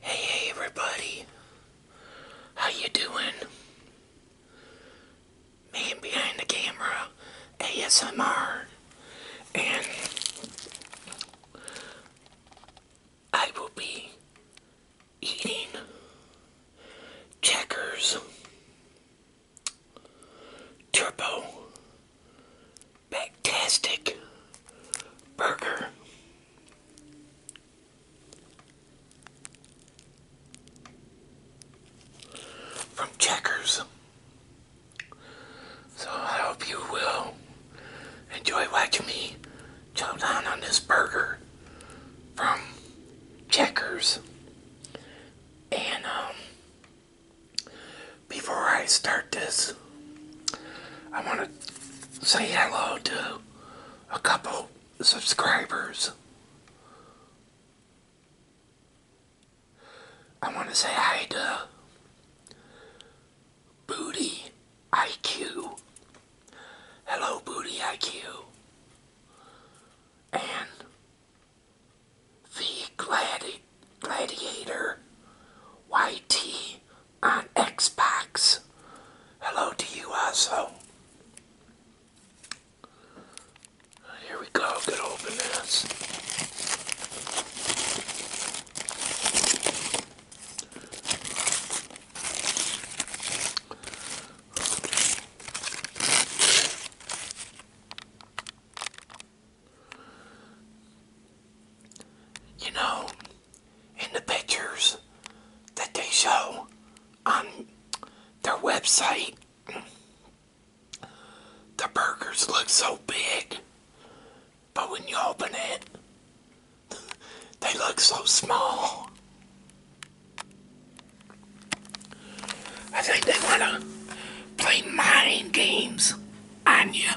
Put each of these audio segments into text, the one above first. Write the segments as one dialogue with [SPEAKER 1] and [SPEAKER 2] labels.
[SPEAKER 1] Hey, hey everybody. How you doing? Man behind the camera ASMR and I will be eating checkers turbo Fantastic burger. From Checkers. So I hope you will enjoy watching me chow down on this burger from Checkers. And um, before I start this, I want to say hello to a couple subscribers. I want to say hi to Booty IQ. Hello, Booty IQ. And the Gladiator YT on Xbox. Hello to you also. Here we go, good open you know, in the pictures that they show on their website, the burgers look so big, but when you open it, they look so small. I think they want to play mind games. Anya.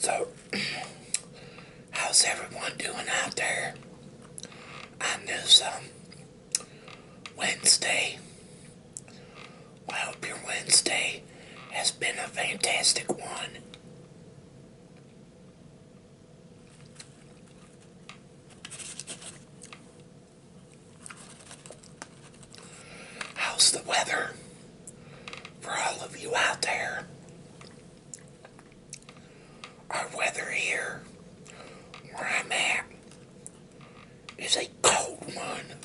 [SPEAKER 1] So, how's everyone doing out there on this um, Wednesday? I hope your Wednesday has been a fantastic one. How's the weather for all of you out there? Our weather here, where I'm at, is a cold one.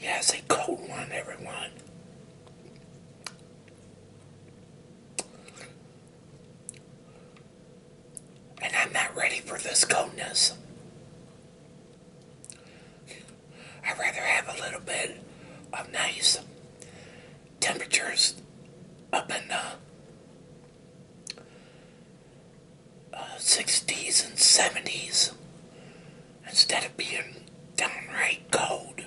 [SPEAKER 1] Yes, a cold one, everyone. And I'm not ready for this coldness. I'd rather have a little bit of nice temperatures up in the 60s uh, and 70s instead of being downright cold.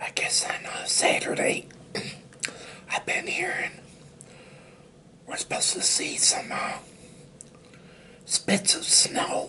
[SPEAKER 1] I guess on Saturday, I've been hearing we're supposed to see some uh, spits of snow.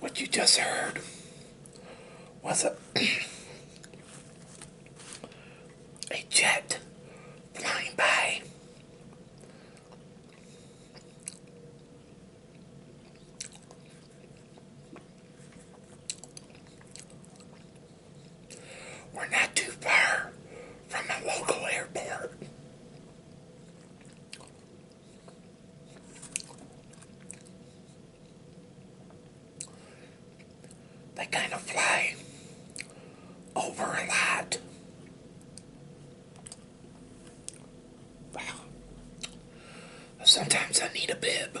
[SPEAKER 1] what you just heard was a, a jet flying by. We're not too far from a local airport. They kind of fly over a lot. Sometimes I need a bib.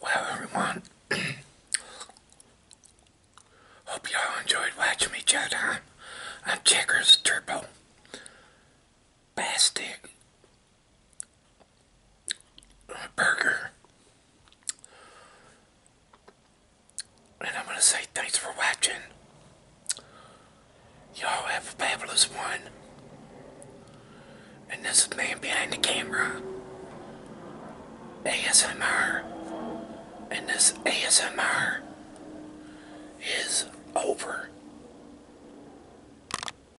[SPEAKER 1] Well, everyone, hope y'all enjoyed watching me chat uh, I'm Checkers Turbo Bastard burger. And I'm going to say thanks for watching. Y'all have a fabulous one. And this is Man Behind the Camera. ASMR. And this ASMR is over.